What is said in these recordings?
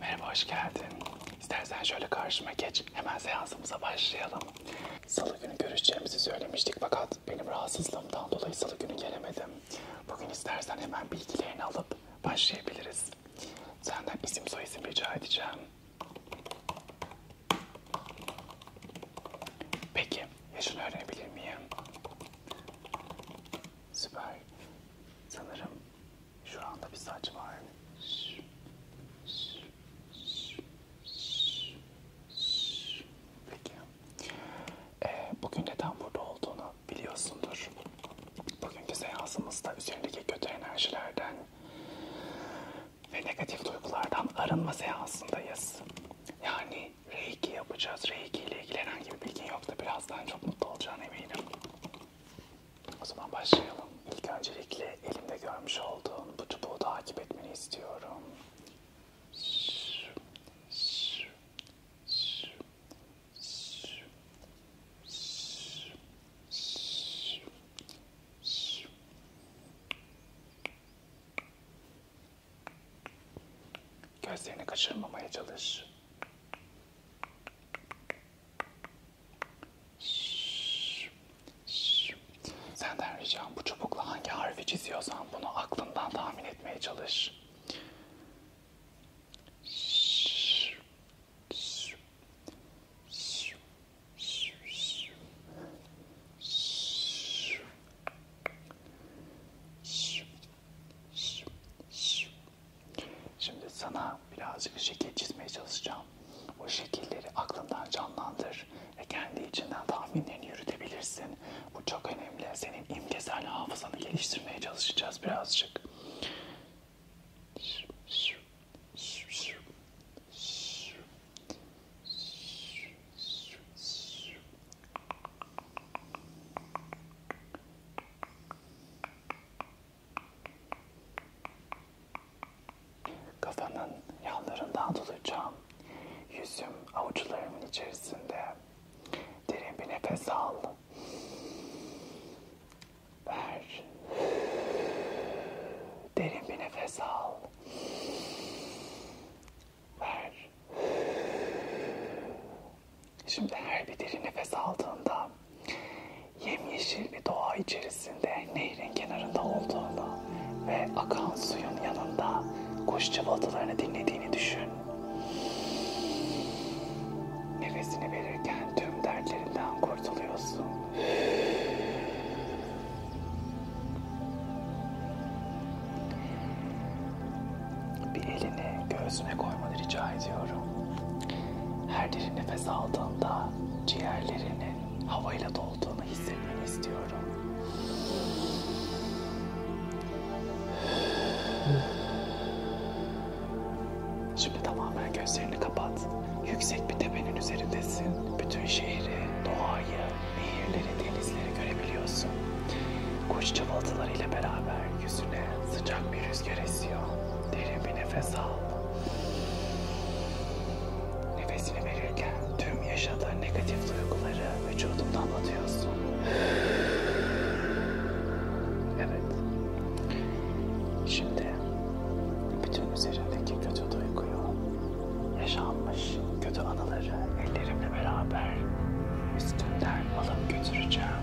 Merhaba, hoş geldin. İstersen şöyle karşıma geç, hemen seansımıza başlayalım. Salı günü görüşeceğimizi söylemiştik fakat benim rahatsızlığımdan dolayı salı günü gelemedim. Bugün istersen hemen bilgilerini alıp başlayabiliriz. Senden isim soyisim rica edeceğim. Peki, yaşını öğrenebilir miyim? Süper. Sanırım şu anda bir saç var. Peki. Ee, bugün neden burada olduğunu biliyorsundur. Bugünkü seansımızda üzerindeki kötü enerjilerden ve negatif duygulardan arınma seansındayız. Yani hani reiki yapacağız. Reiki ile ilgili herhangi bir bilgin yok da birazdan çok mutlu olacağına eminim. O zaman başlayalım. İlk öncelikle elimde görmüş olduğun bu çubuğu takip etmeni istiyorum. Gözlerini kaçırmamaya çalış. Şşş, şş. Senden ricam bu çubukla hangi harfi çiziyorsan bunu aklından tahmin etmeye çalış. Şşş, şş, şş, şş, şş, şş. Şimdi sana birazcık şekil çizmeye çalışacağım. O şekilleri aklından canlandır ve kendi içinden tahminlerini yürütebilirsin. Bu çok önemli. Senin imgesel hafızanı geliştirmeye çalışacağız birazcık. Kafanın yanlarından tutacağım. Yüzüm avuçlarımın içerisinde. Derin bir nefes al. Ver. Derin bir nefes al. Ver. Şimdi her bir derin nefes aldığında yemyeşil bir doğa içerisinde nehrin kenarında olduğunu ve akan suyun yanında kuş cıvıltılarını dinlediğini düşün. Nefesini verirken tüm dertlerinden kurtuluyorsun. Bir elini göğsüne koymanı rica ediyorum. Her derin nefes aldığında ciğerlerinin havayla dolduğunu hissetmeni istiyorum. Şimdi tamamen gözlerini kapat. Yüksek bir tepenin üzerindesin. Bütün şehri, doğayı, nehirleri, denizleri görebiliyorsun. Kuş cıvıltılarıyla beraber yüzüne sıcak bir rüzgar esiyor. Derin bir nefes al. Nefesini verirken tüm yaşadığın negatif duyguları vücudunda anlatıyorsun. Evet. Şimdi bütün üzerindeki kötü duyguyu, yaşanmış kötü anıları ellerimle beraber üstünden alıp götüreceğim.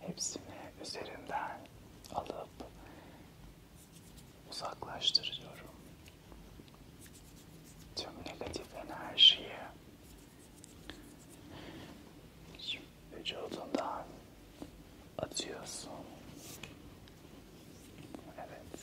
Hepsini üzerinden alıp uzaklaştırıyorum. Tüm negatif enerjiyi vücudundan atıyorsun. Evet.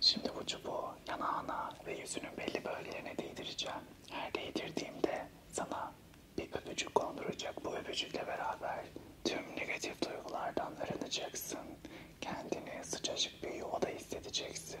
Şimdi bu çubuğu yanağına ve yüzünün belli bölgelerine değdireceğim. Her değdirdiğimde sana bir öpücük konduracak. Bu öpücükle beraber tüm negatif duygulardan arınacaksın. Kendini sıcacık bir yuvada hissedeceksin.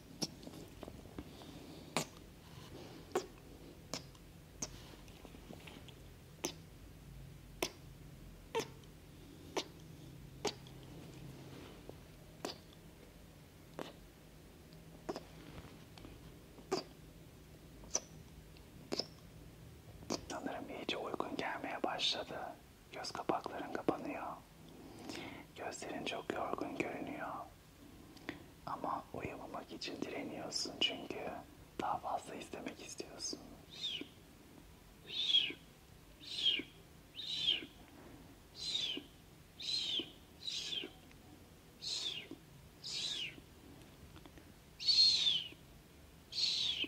Sanırım iyice uygun gelmeye başladı. Göz kapakların kapanıyor. Gözlerin çok yorgun görünüyor. Ama uyumamak için direniyorsun çünkü daha fazla istemek istiyorsun. Şş, şş, şş, şş, şş, şş, şş, şş, şş. Şş, şş.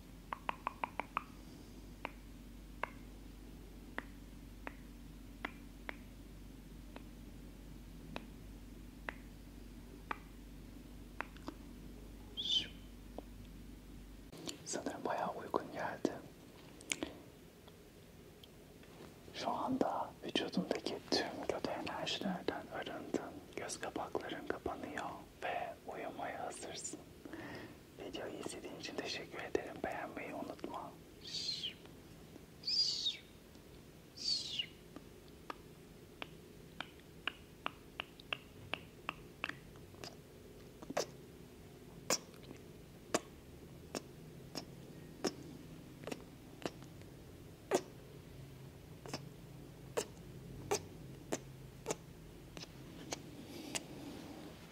Sanırım bayağı uygun geldi. Şu anda vücudumdaki tüm kötü enerjilerden arındın, göz kapakların kapanıyor ve uyumaya hazırsın. Videoyu izlediğin için teşekkür ederim. Beğenmeyi unutma.